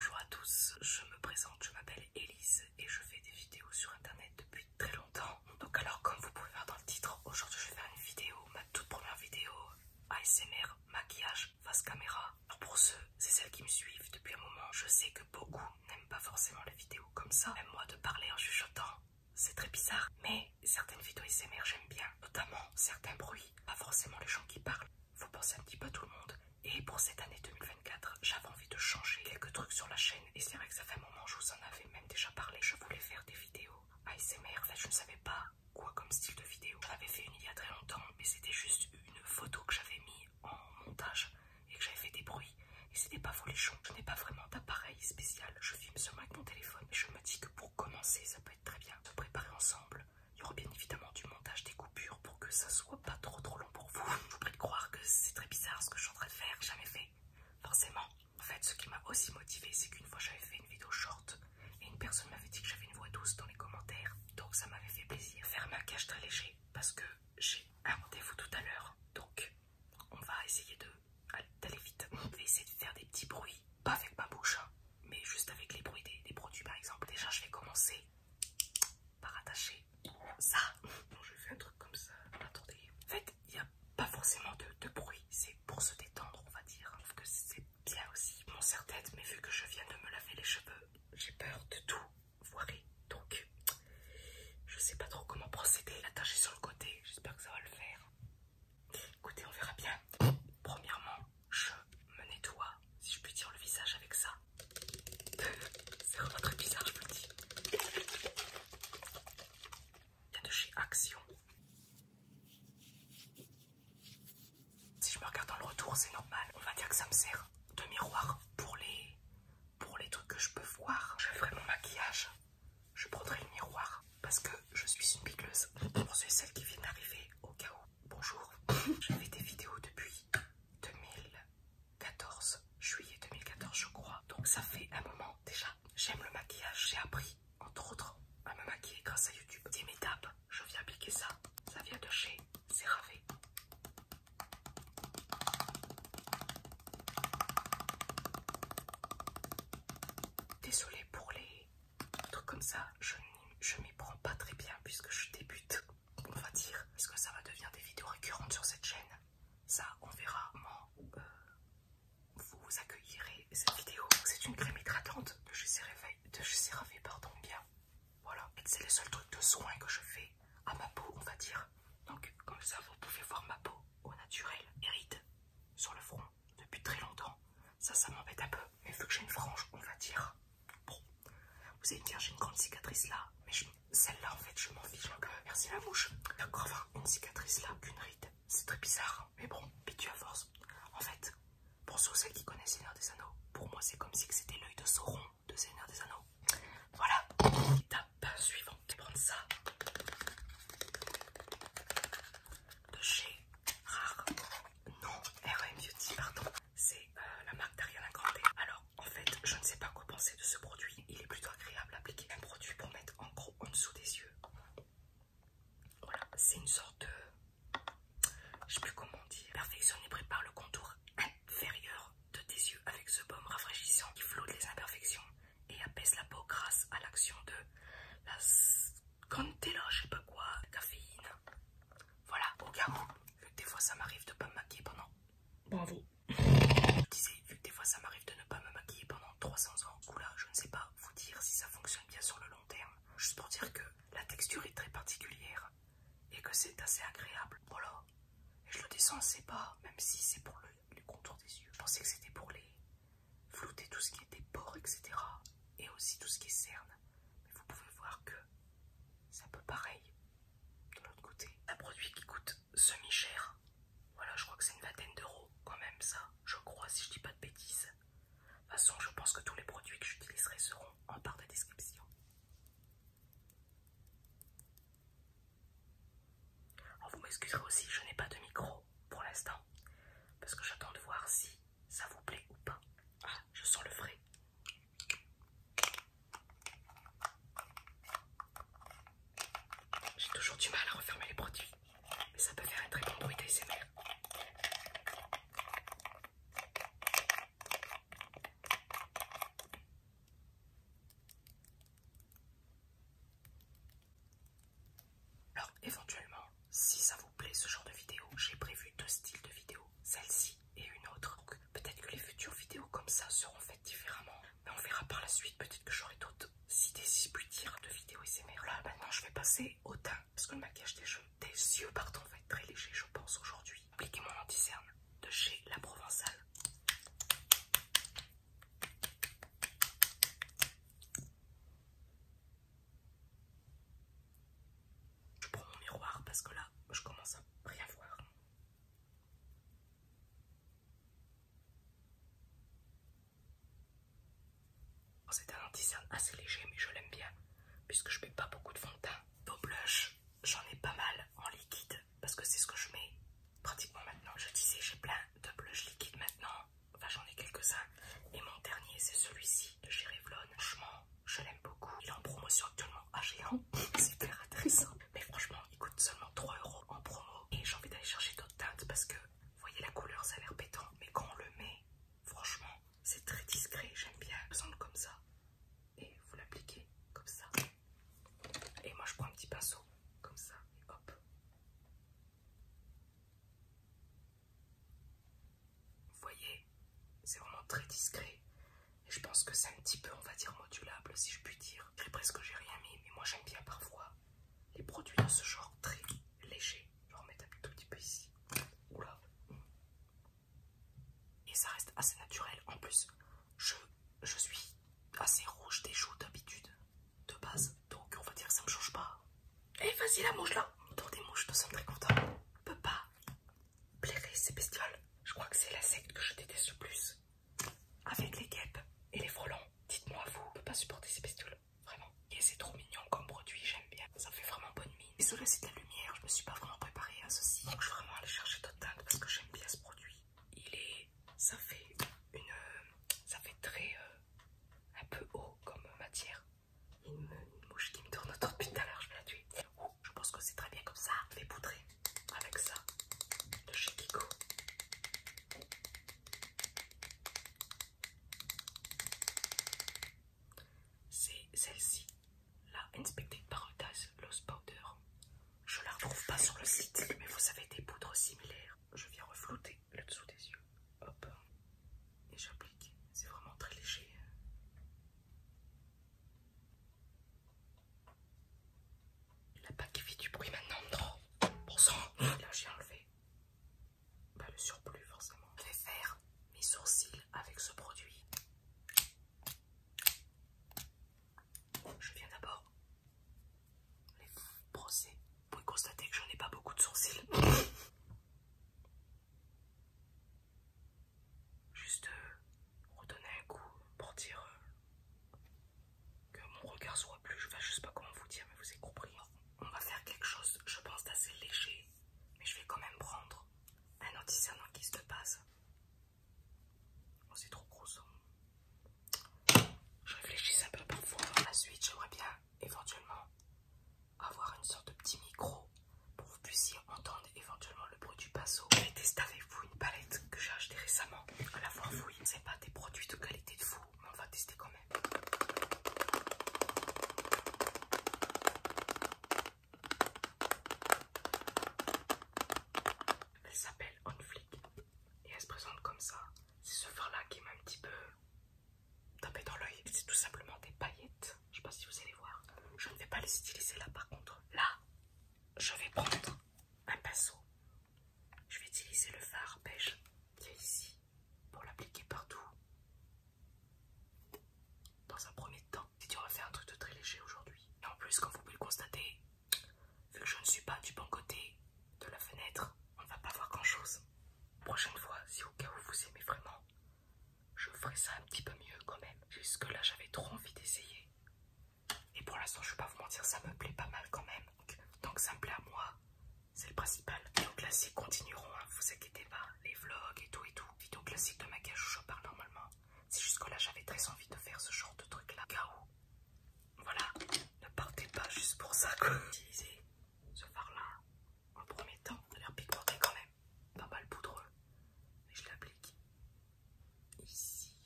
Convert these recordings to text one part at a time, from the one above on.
Bonjour à tous, je me présente, je m'appelle Elise et je fais des vidéos sur internet depuis très longtemps. Donc alors comme vous pouvez voir dans le titre, aujourd'hui je vais faire une vidéo, ma toute première vidéo ASMR, maquillage, face caméra. Alors pour ceux c'est celles qui me suivent depuis un moment, je sais que beaucoup n'aiment pas forcément les vidéos comme ça. Même moi de parler en chuchotant, c'est très bizarre. Mais certaines vidéos ASMR j'aime bien, notamment certains bruits, pas forcément les gens qui parlent. Vous pensez un petit peu tout le monde. Et pour cette année 2024, j'avais envie de changer quelques trucs sur la chaîne. Et c'est vrai que ça fait un moment, je vous en avais même déjà parlé. Je voulais faire des vidéos ASMR. fait, je ne savais pas quoi comme style de vidéo. J'en avais fait une il y a très longtemps, mais c'était juste une photo que j'avais mise en montage et que j'avais fait des bruits. Et ce n'est pas folichon. Je n'ai pas vraiment d'appareil spécial. Je filme seulement avec mon téléphone. Et je me dis que pour commencer, ça peut être très bien. Se préparer ensemble il y aura bien évidemment du montage, des coupures pour que ça soit pas trop trop long pour vous. Je vous prie de croire que c'est très bizarre ce que je suis en train de faire, jamais fait. Forcément. En fait, ce qui m'a aussi motivé, c'est qu'une fois j'avais fait une vidéo short et une personne m'avait dit que j'avais une voix douce dans les commentaires. Donc ça m'avait fait plaisir. Faire ma cage très léger parce que j'ai un rendez-vous tout à l'heure. Donc on va essayer d'aller vite. Je vais essayer de faire des petits bruits, pas avec ma bouche, hein, mais juste avec les bruits des produits par exemple. Déjà, je vais commencer par attacher ça. Donc je fais un truc comme ça. Attendez. En fait, il n'y a pas forcément de, bruit. C'est pour se détendre, on va dire. que c'est bien aussi. Mon serre-tête, mais vu que je viens de me laver les cheveux, j'ai peur de tout voir. Donc, je ne sais pas trop comment procéder. L'attacher sur le côté, j'espère que ça va le faire. Écoutez, on verra bien. Premièrement, je me nettoie, si je puis dire, le visage avec ça. C'est vraiment très bizarre, je peux Il de chez Action. Si je me regarde dans le retour, c'est normal. On va dire que ça me sert de miroir pour les, pour les trucs que je peux voir. Je ferai mon maquillage, je prendrai le miroir parce que je suis une bigleuse. Pour ceux qui vient d'arriver, au cas où bonjour. J'ai fait des vidéos depuis 2014, juillet 2014 je crois. Donc ça fait un moment déjà. J'aime le maquillage, j'ai appris entre autres à me maquiller grâce à YouTube. des étapes, je viens appliquer ça. Ça vient de chez CeraVe. Désolée pour les trucs comme ça, je, je m'y prends pas très bien puisque je débute on va dire, est-ce que ça va devenir des vidéos récurrentes sur cette chaîne Ça, on verra. Moi, euh, vous accueillerez cette vidéo. C'est une crème hydratante de chez CeraVe, pardon, bien. Voilà, et c'est le seul truc de soin que je fais à ma peau, on va dire. Donc, comme ça, vous pouvez voir ma peau au naturel et ride sur le front depuis très longtemps. Ça, ça m'embête un peu, mais vu que j'ai une frange, on va dire, Bon, vous allez me dire, j'ai une grande cicatrice là, mais celle-là, en fait, je m'en fiche. merci la mouche. D'accord, enfin, une cicatrice là, qu'une ride. C'est très bizarre, hein. mais bon, tu à force. En fait, pour ceux qui connaissent Seigneur des Anneaux, pour moi, c'est comme si c'était l'œil de Sauron de Seigneur des Anneaux. Voilà. Étape suivante. Je vais prendre ça de chez Rare. Non, RM e Beauty, pardon c'est euh, la marque d'Ariana Grande. Alors en fait, je ne sais pas quoi penser de ce produit. Il est plutôt agréable d'appliquer Un produit pour mettre en gros en dessous des yeux. Voilà, c'est une sorte de... Je sais plus comment dire. dit. et prépare le contour inférieur de tes yeux avec ce baume rafraîchissant qui flotte les imperfections et apaise la peau grâce à l'action de la scantella, je sais pas quoi, caféine. Voilà, au cas vu que des fois ça m'arrive de pas me maquiller pendant. Bravo. Je disais, vu que des fois ça m'arrive de ne pas me maquiller pendant 300 ans, ou là, je ne sais pas vous dire si ça fonctionne bien sur le long terme. Juste pour dire que la texture est très particulière et que c'est assez agréable. Voilà. Et je le descends, c'est pas, même si c'est pour le, contour des yeux. Je pensais que c'était pour les flouter tout ce qui était pores, etc. Et aussi tout ce qui est cernes. Mais vous pouvez voir que c'est un peu pareil de l'autre côté. Un produit qui coûte semi-cher. Voilà, je crois que c'est une vingtaine d'euros quand même ça. Je crois, si je dis pas de bêtises. De toute façon, je pense que tous les produits que j'utiliserai seront en barre de description. vous m'excuserez aussi, je n'ai pas de micro pour l'instant. Parce que j'attends de voir si ça vous plaît ou pas. Ah, je sens le frais. J'ai toujours du mal à refermer les produits, mais ça peut faire un très bon bruit d'ASMR. Alors éventuellement, si ça vous plaît ce genre de vidéo, j'ai prévu deux styles de vidéos. Celle-ci et une autre. Peut-être que les futures vidéos comme ça seront faites différemment. Mais on verra par la suite. Peut-être que j'aurai d'autres idées, si je puis dire, de vidéos merde. Là, maintenant, je vais passer au teint. Parce que le maquillage des, jeux, des yeux pardon, va être très léger, je pense, aujourd'hui. Appliquez mon anti-cerne de chez La Provençale. Je prends mon miroir parce que là, je commence à rien voir. Oh, c'est un anti assez léger, mais je l'aime bien puisque je mets pas beaucoup de fond de teint. blush, j'en ai pas mal en liquide parce que c'est ce que je mets pratiquement maintenant. Je disais, j'ai plein de blush liquide maintenant. Enfin, j'en ai quelques-uns. Et mon dernier, c'est celui-ci de chez Revlon je l'aime beaucoup. Il est en promotion actuellement à Géant, c'est très intéressant. Mais franchement, il coûte seulement 3 euros en promo. Et j'ai envie d'aller chercher d'autres teintes parce que, vous voyez la couleur, ça a l'air pétant. Mais quand on le met, franchement, c'est très discret. J'aime bien. Ça semble comme ça. Et vous l'appliquez comme ça. Et moi, je prends un petit pinceau comme ça. Et hop. Vous voyez, c'est vraiment très discret. Et je pense que c'est un petit peu, on va dire, modulable, si je puis dire. J'ai presque j'ai rien mis, mais moi j'aime bien parfois les produits de ce genre très légers. Je vais en un tout petit peu ici. Oula. Et ça reste assez naturel. En plus, je, suis assez rouge des joues d'habitude, de base. Donc on va dire ça me change pas. Eh, vas-y la mouche là. autour des mouches, nous sommes très contents. peut pas Plairez, ces bestioles. Je crois que c'est la que je déteste le plus. Avec les guêpes et les frelons. Dites-moi, vous, ne pouvez pas supporter ces bestioles. Vraiment. Et c'est trop mignon comme produit, j'aime bien. Ça fait vraiment bonne mine. Et cela, c'est de la lumière. Je me suis pas vraiment préparée à ceci. Donc, je vais vraiment aller chercher d'autres teintes parce que j'aime bien ce produit. Il est. Ça fait une. Euh, ça fait très. Euh, un peu haut comme matière une mouche qui me tourne autour depuis tout à l'heure, je vais la tuer. je pense que c'est très bien comme ça. les vais poudrer avec ça de chez C'est celle-ci, la Inspected Paradise Lost Powder. Je la retrouve pas sur le site, mais vous avez des poudres similaires. Je viens reflouter le dessous des yeux. Hop, et j'applique. C'est vraiment très léger. La bague fait du bruit maintenant, Bon Là j'ai enlevé bah, le surplus forcément. Je vais faire mes sourcils avec ce produit. Je viens d'abord les brosser. Vous pouvez constater que je n'ai pas beaucoup de sourcils. Juste euh, redonner un coup pour dire euh, que mon regard soit plus. Je je sais pas comment vous dire, mais vous avez compris. On va faire quelque chose, je pense, d'assez léger, mais je vais quand même prendre un anti qui se passe. Oh, c'est trop gros Je réfléchis un peu parfois. suite. j'aimerais bien éventuellement avoir une sorte de petit micro pour que vous puissiez entendre éventuellement le bruit du pinceau. Je vais tester avec vous une palette que j'ai achetée récemment. À la fois, oui, c'est pas des produits de qualité de fou, mais on va tester quand même. Elle s'appelle Onflick et elle se présente comme ça. C'est ce fard là qui m'a un petit peu tapé dans l'œil. C'est tout simplement des paillettes je sais pas si vous allez voir. Je ne vais pas les utiliser là par contre. Là, je vais prendre un pinceau. Je vais utiliser le fard beige qui est ici pour l'appliquer partout. Dans un premier temps, si on va faire un truc de très léger aujourd'hui. Et en plus, comme vous pouvez le constater, vu que je ne suis pas du bon côté de la fenêtre, on ne va pas voir grand chose. Prochaine fois, si au cas où vous aimez vraiment je ferai ça un petit peu mieux quand même. Jusque là, j'avais trop envie d'essayer. Et pour l'instant, je vais pas vous mentir, ça me plaît pas mal quand même. Donc, tant que ça me plaît à moi, c'est le principal. Les vidéos classiques continueront, hein, vous inquiétez pas. Les vlogs et tout et tout. Vidéos classiques de maquillage où je parle normalement. C'est jusque là, j'avais très envie de faire ce genre de truc là. car voilà, ne partez pas juste pour ça. Utilisez ce fard là en premier temps, ça a l'air pigmenté quand même, pas mal poudreux. Et je l'applique ici.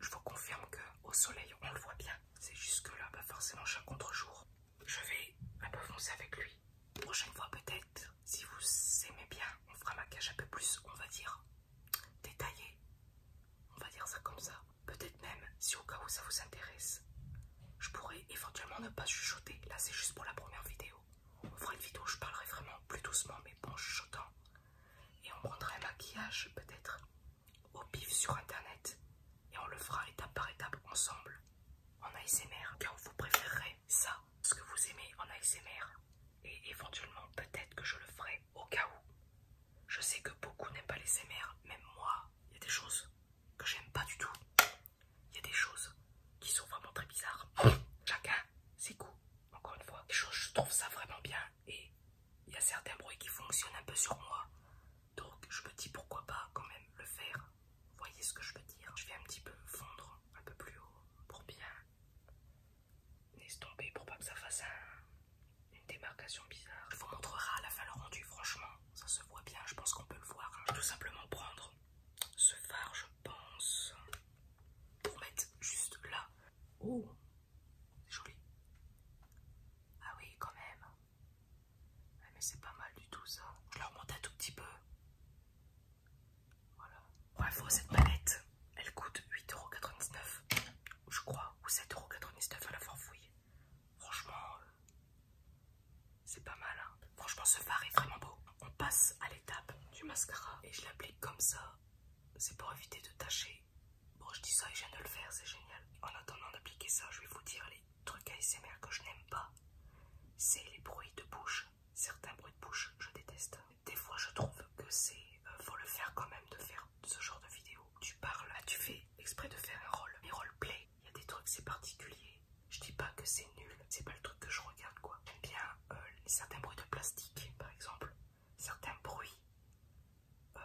Je vous confirme au soleil, on le voit bien. C'est jusque là, pas bah, forcément, chaque contre-jour, je vais un peu foncer avec lui. Prochaine fois, peut-être, si vous aimez bien, on fera ma cage un peu plus, on va dire, détaillé. On va dire ça comme ça. Peut-être même, si au cas où ça vous intéresse, je pourrais éventuellement ne pas chuchoter. Là, c'est juste pour la première vidéo. On fera une vidéo je parlerai vraiment plus doucement, mais bon, chuchotant. Et on prendra maquillage, peut-être, au pif sur internet. Et on le fera étape par étape ensemble, en ASMR. Car vous préférerez ça, ce que vous aimez en ASMR. Et éventuellement, peut-être que je le ferai au cas où. Je sais que beaucoup n'aiment pas les même moi. Il y a des choses que j'aime pas du tout. Il y a des choses qui sont vraiment très bizarres. Chacun ses coups encore une fois. Des choses, je trouve ça vraiment bien et il y a certains bruits qui fonctionnent un peu sur moi. Donc je me dis pourquoi pas quand même le faire. Vous voyez ce que je veux dire Je vais un petit peu fondre un peu plus haut pour bien estomper pour pas que ça fasse une démarcation bizarre. Je vous montrera à la fin le rendu franchement ça se voit bien, je pense qu'on peut le voir. Je hein. vais tout simplement prendre ce phare, je pense, pour mettre juste là. Oh, c'est joli. Ah oui, quand même. Mais c'est pas mal du tout ça. Je le remonter un tout petit peu. Voilà. Bref, oh, cette palette, elle coûte 8,99€, je crois, ou 7,99€ à la fourfouille Franchement, euh, c'est pas mal, hein. Franchement, ce fard est vraiment beau. On passe à l'étape du mascara et je l'applique comme ça. C'est pour éviter de tâcher. Bon, je dis ça et je viens de le faire, c'est génial. En attendant d'appliquer ça, je vais vous dire les trucs ASMR que je n'aime pas. C'est les bruits de bouche. Certains bruits de bouche, je déteste. Des fois, je trouve que c'est... Euh, faut le faire quand même, de faire ce genre de vidéo. Tu parles, ah, tu fais exprès de faire un rôle, mais roleplay. Il y a des trucs, c'est particulier. Je dis pas que c'est nul, c'est pas le truc que je regarde quoi. J'aime bien euh, certains bruits de plastique, par exemple, certains bruits euh,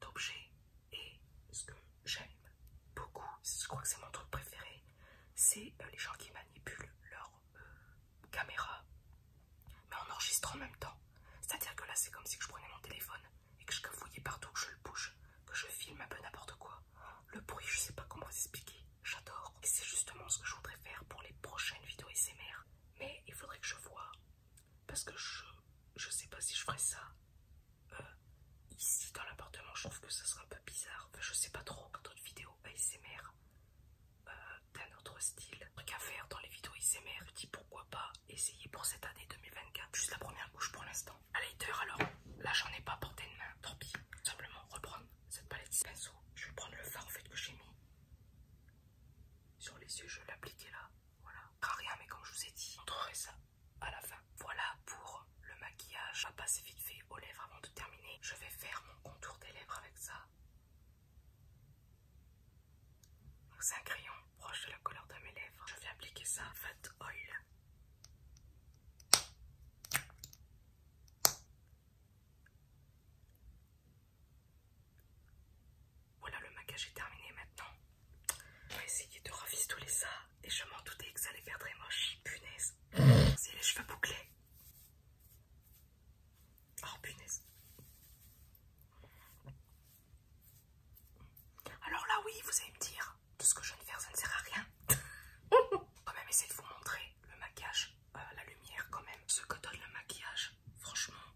d'objets. Et ce que j'aime beaucoup, je crois que c'est mon truc préféré, c'est euh, les gens qui manipulent leur caméra, mais en enregistrant en même temps. C'est-à-dire que là, c'est comme si je prenais mon téléphone et que je cafouille partout que je le bouge, que je filme un peu n'importe quoi. Le bruit, je sais pas comment vous expliquer, j'adore. Et c'est justement ce que je voudrais faire pour les prochaines vidéos ISMR. Mais il faudrait que je vois, parce que je, je sais pas si je ferais ça euh, ici dans l'appartement. Je trouve que ça serait un peu bizarre. je sais pas trop. D'autres vidéos ASMR euh, d'un autre style, truc à faire dans les vidéos ASMR, je dis pourquoi pas essayer pour cette année 2024. Juste la première couche pour l'instant. La lighter, alors là, j'en ai pas porté de main. Tant pis. Simplement reprendre cette palette de pinceau. Je vais prendre le fard en fait que j'ai mis sur les yeux. Je vais l'appliquer là. Voilà. rien, mais comme je vous ai dit, je montrerai ça à la fin. Voilà pour le maquillage. va passer vite fait aux lèvres avant de terminer. Je vais faire mon contour des lèvres avec ça. C'est un crayon proche de la couleur de mes lèvres. Je vais appliquer ça Fat Oil. Voilà, le maquillage est terminé maintenant. Je vais essayer de les ça et je m'en doutais que ça allait faire très moche. Punaise, c'est les cheveux bouclés. Oh punaise. Alors là oui, vous allez me dire, tout ce que je viens de faire, ça ne sert à rien. quand même, essayer de vous montrer le maquillage, euh, la lumière quand même. Ce que donne le maquillage, franchement,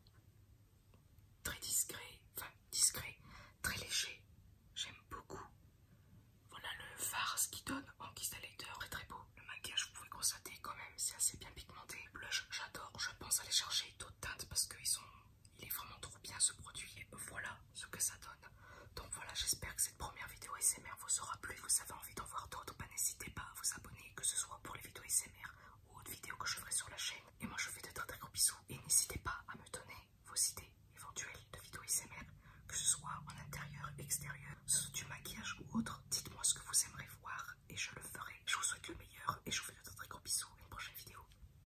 très discret, enfin discret, très léger. J'aime beaucoup. Voilà le ce qui donne en guise est très très beau. Le maquillage, vous pouvez constater quand même, c'est assez bien pigmenté. Blush, j'adore. Je pense aller chercher d'autres teintes parce qu'ils sont il est vraiment trop bien ce produit et voilà ce que ça donne. Donc voilà, j'espère que cette première vidéo SMR vous aura plu. Vous avez envie d'en voir d'autres, bah, n'hésitez pas à vous abonner, que ce soit pour les vidéos SMR ou autres vidéos que je ferai sur la chaîne. Et moi je vous fais de très très gros bisous et n'hésitez pas à me donner vos idées éventuelles de vidéos SMR, que ce soit en intérieur, extérieur, sous du maquillage ou autre. Dites-moi ce que vous aimeriez voir et je le ferai. Je vous souhaite le meilleur et je vous fais de très très gros bisous une prochaine vidéo.